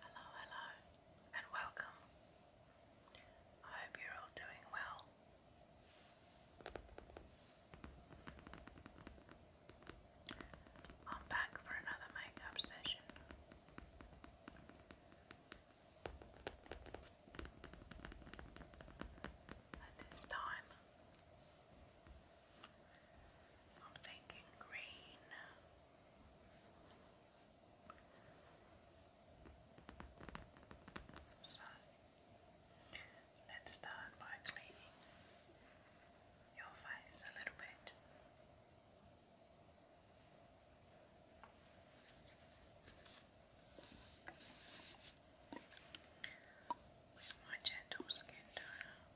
Hello, hello, and welcome. I hope you're all doing well. I'm back for another makeup session. And this time I'm thinking green. let's start by cleaning your face a little bit. With my gentle skin toner.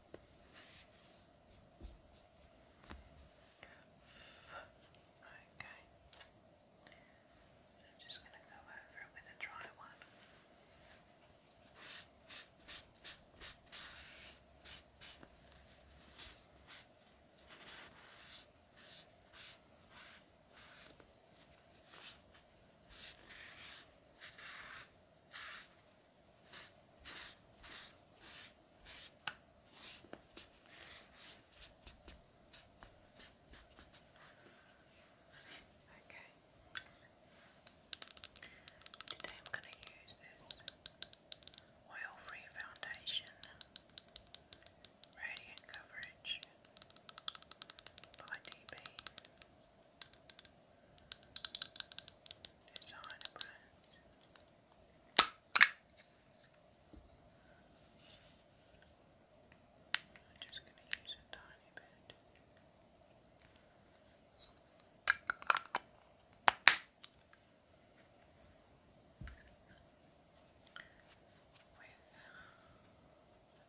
Okay. i just going to go over with a dry one. Okay. Today I'm going to use this oil-free foundation, radiant coverage by DB. Designer brands. I'm just going to use a tiny bit. With a beauty blender,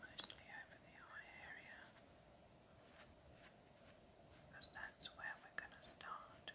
Mostly over the eye area, because that's where we're going to start.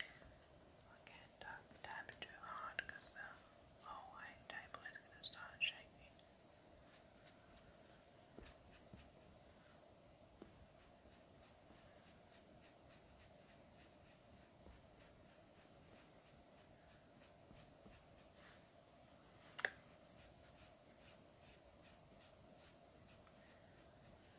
I can't tap, tap it too hard because the whole table is going to start shaking.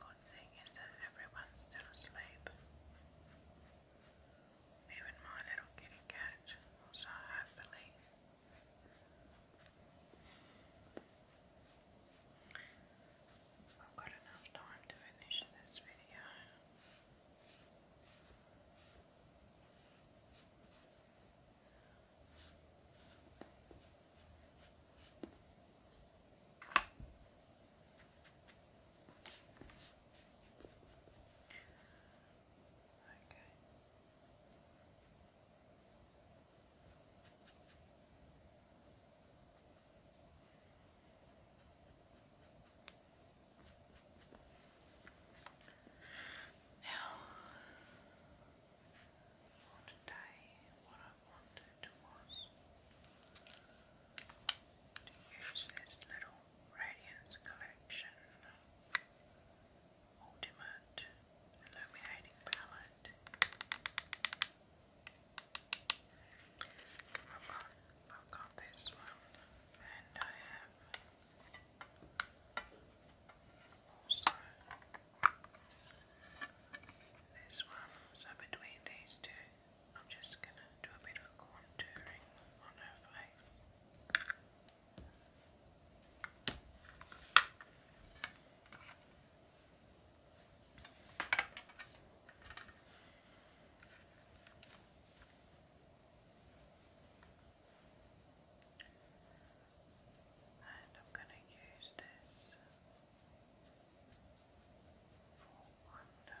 Good thing is that everyone's still asleep. Even my little kitty cat also happily I've got enough time to finish this video. Okay. Now, for today, what I wanted was to use this little radiance collection. Ultimate Illuminating Palette. I've got, I've got this one, and I have also this one. So between these two, I'm just gonna do a bit of contouring on her face. And I'm going to use this for wonder.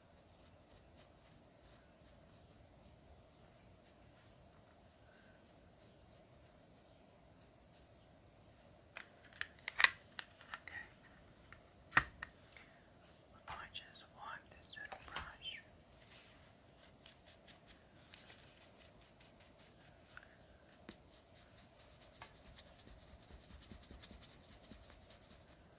Okay. I just wipe this little brush. Okay.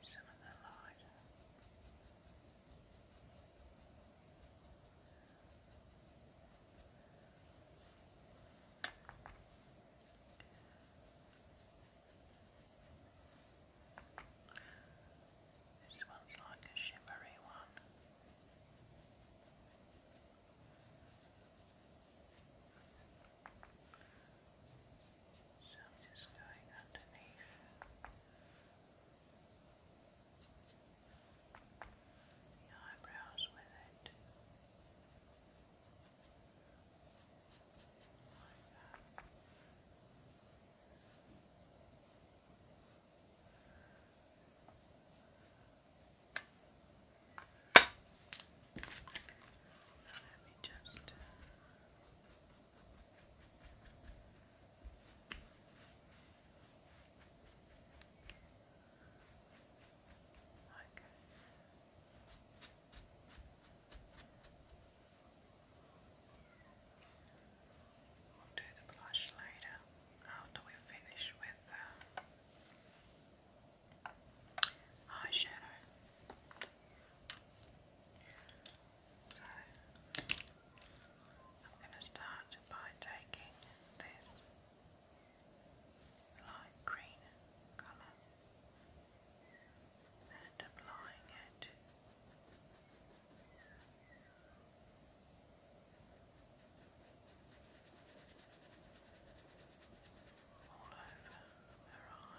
Use some of the light. Just this one's like a shimmery one. So I'm just going underneath. The eyebrows with it. Like that. Now let me just Okay. Uh, We'll do the blush later after we finish with the eyeshadow. So I'm going to start by taking this light green colour and applying it all over her eye. All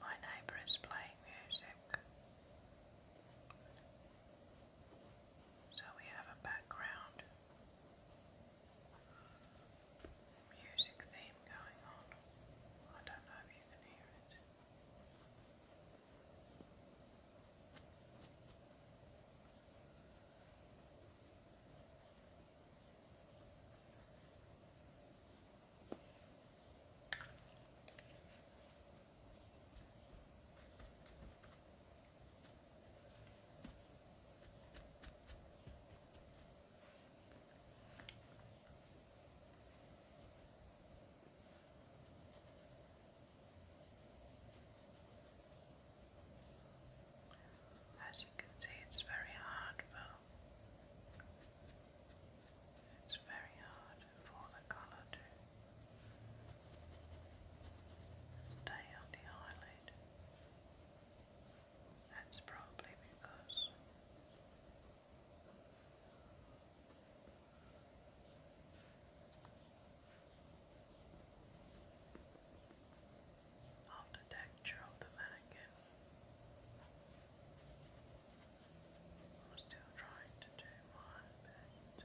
My neighbour is playing music. So we have a background music theme going on. I don't know if you can hear it. As you can see, it's very hard, but it's very hard for the colour to stay on the eyelid. That's probably because of the texture of the mannequin. I'm still trying to do my best.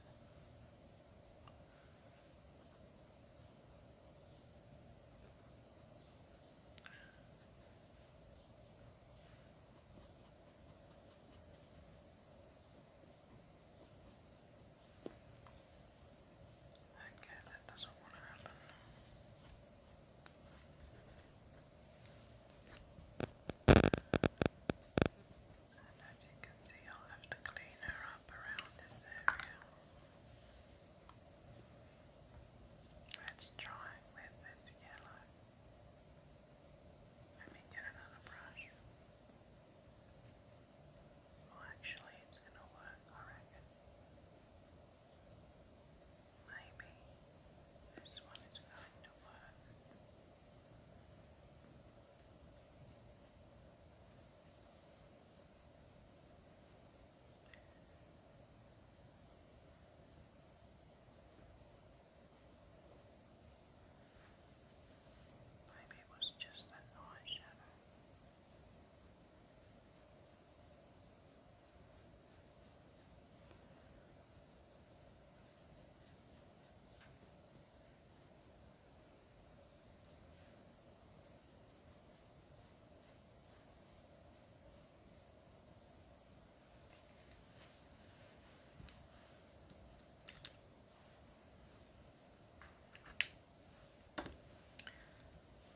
Okay, that doesn't want to happen. And as you can see, I'll have to clean her up around this area. Let's try with this yellow. Let me get another brush. Well, actually, it's going to work, I reckon. Maybe this one is going to work. Maybe it was just that night shadow.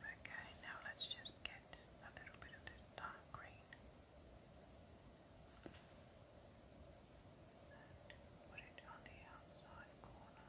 Okay, now let's just get a little bit of this dark green and put it on the outside corner.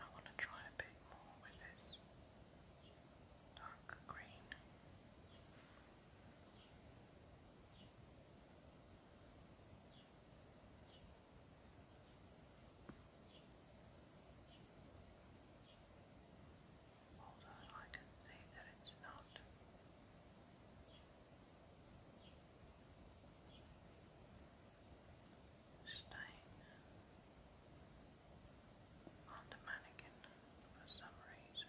I want to try a bit more with this dark green. Although I can see that it's not stain on the mannequin for some reason.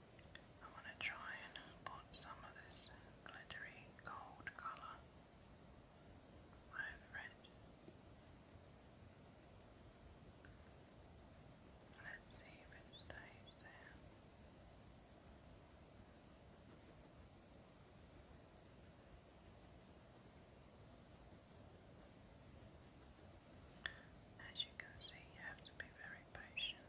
I want to try and put some of this glittery gold colour over it. Let's see if it stays there. As you can see, you have to be very patient.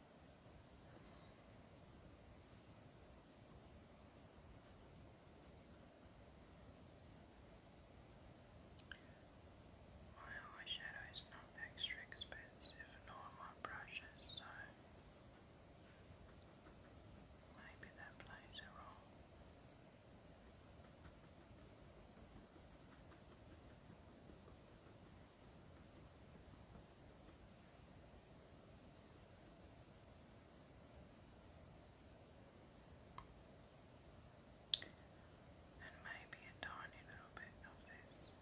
My eyeshadow is not extra expensive, nor my brushes, so maybe that plays a role. And maybe a tiny little bit of this. And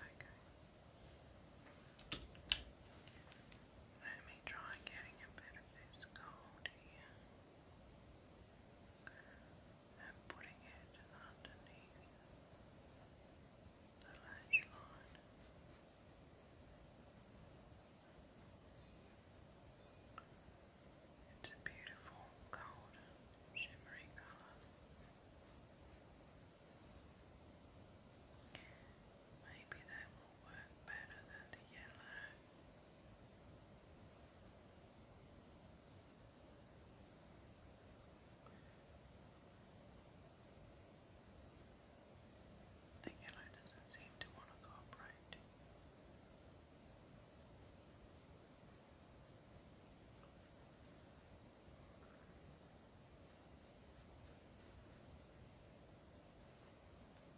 Okay. Let me try getting a bit of this gold here and putting it underneath the lash line. It's a beautiful golden shimmery colour. Maybe that will work better than the yellow the yellow doesn't seem to want to cooperate.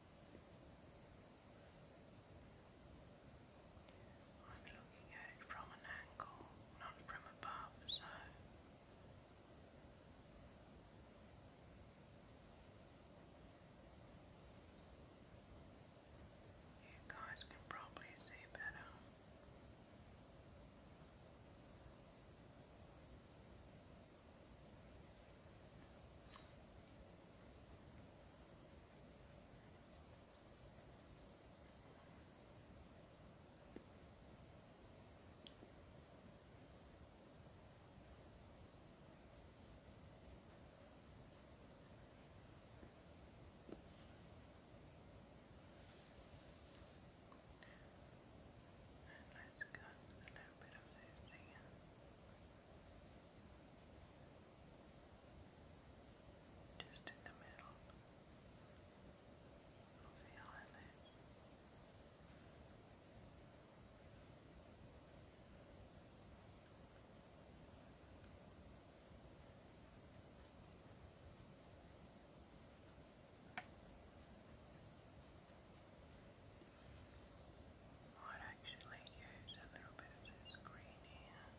I'm looking at it from an angle, not from above, so you guys can probably see better. Let's cut a little bit of this thing in just in the middle of the eyelids might actually use a little bit of this green here. Okay.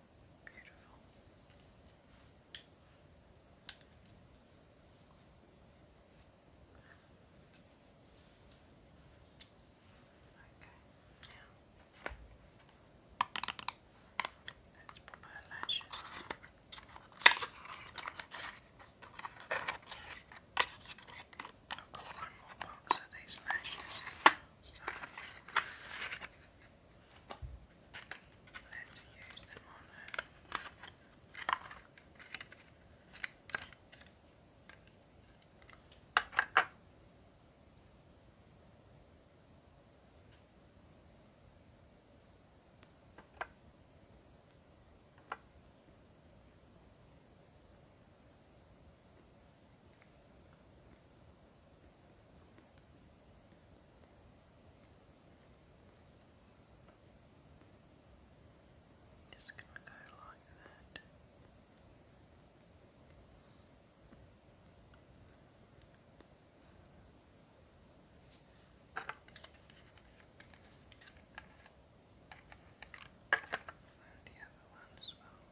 Beautiful. Okay, now let's put on. I've one more box of these lashes, Let's use them on her. Just gonna go like that. And the other one as well.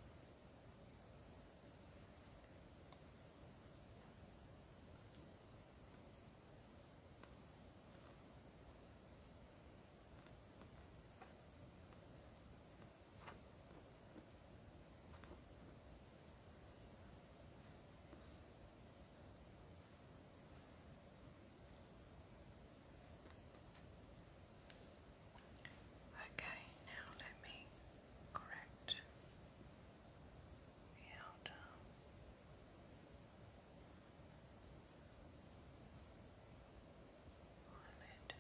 Okay, now let me correct out. Um, On it.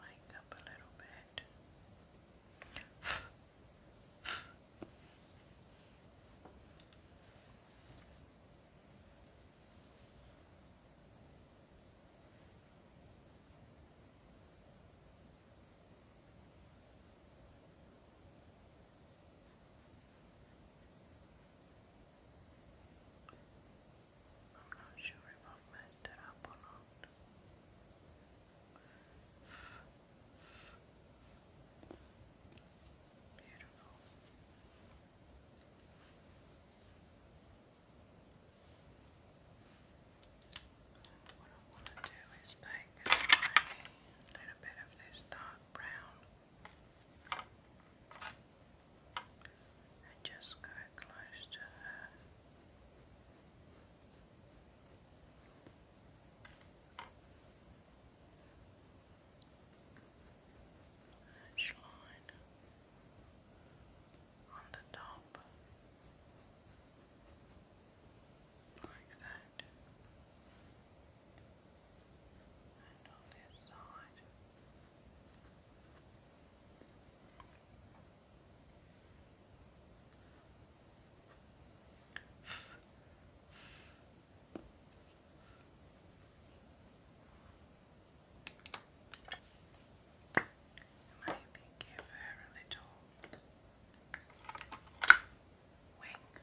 Wake up a little bit. Good. I'm not sure if I've messed it up or not. Beautiful. What I want to do is take a little bit of this dark brown and just go close to her. That's on the top, like that, and on this side maybe give her a little wing. Like that.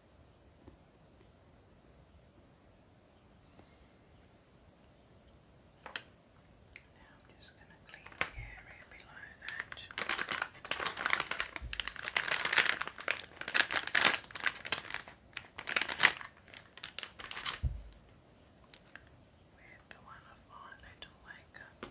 Now I'm just going to clean the area below that. With the one of my little makeup. Now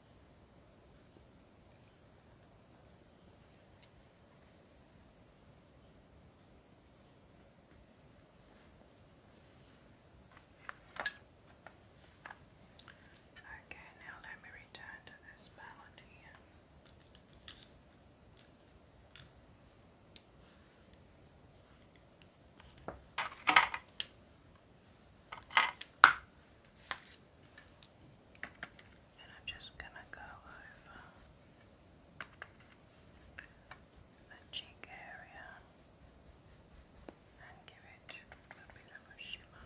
Okay, now let me return to this palette and I'm just going to go over the cheek area and give it a bit of a shimmer.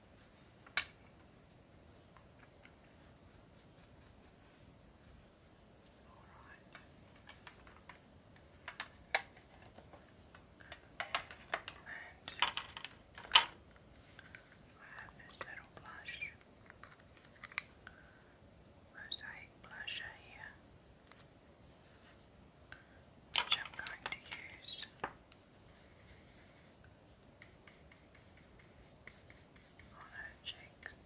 I have this little blush, mosaic blusher here, I'm going to use on her cheeks.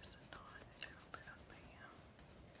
Just a little bit up um, here.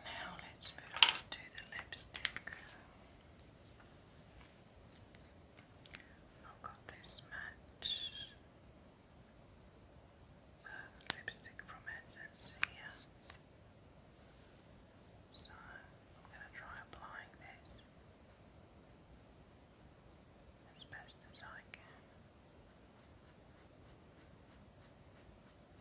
Now let's move on to the lipstick. I've got this match um, lipstick from Essence here. So I'm going to try applying this as best as I can.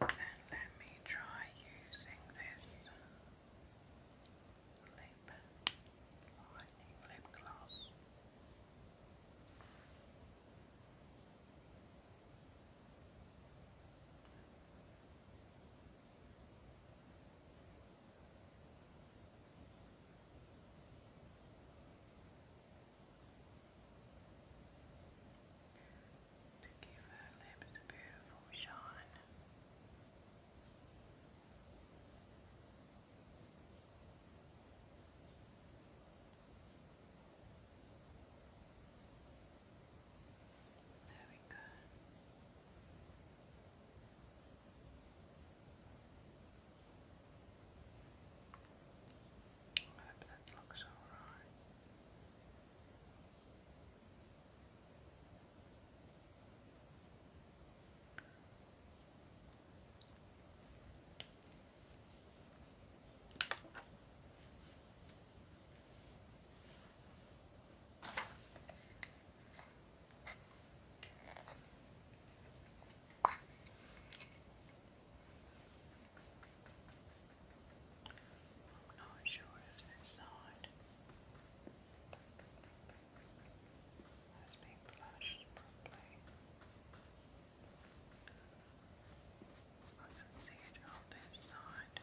And let me try using this lip lightning lip gloss to give her lips a beautiful shine. There we go. I hope that looks alright. I'm not sure if this side has been flashed I can see it on this side.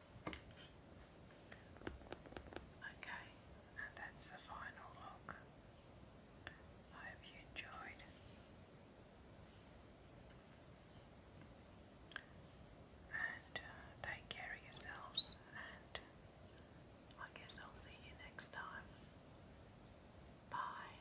Okay, and that's the final look. hope you enjoyed. And uh, take care of yourselves, and I guess I'll see you next time. Bye.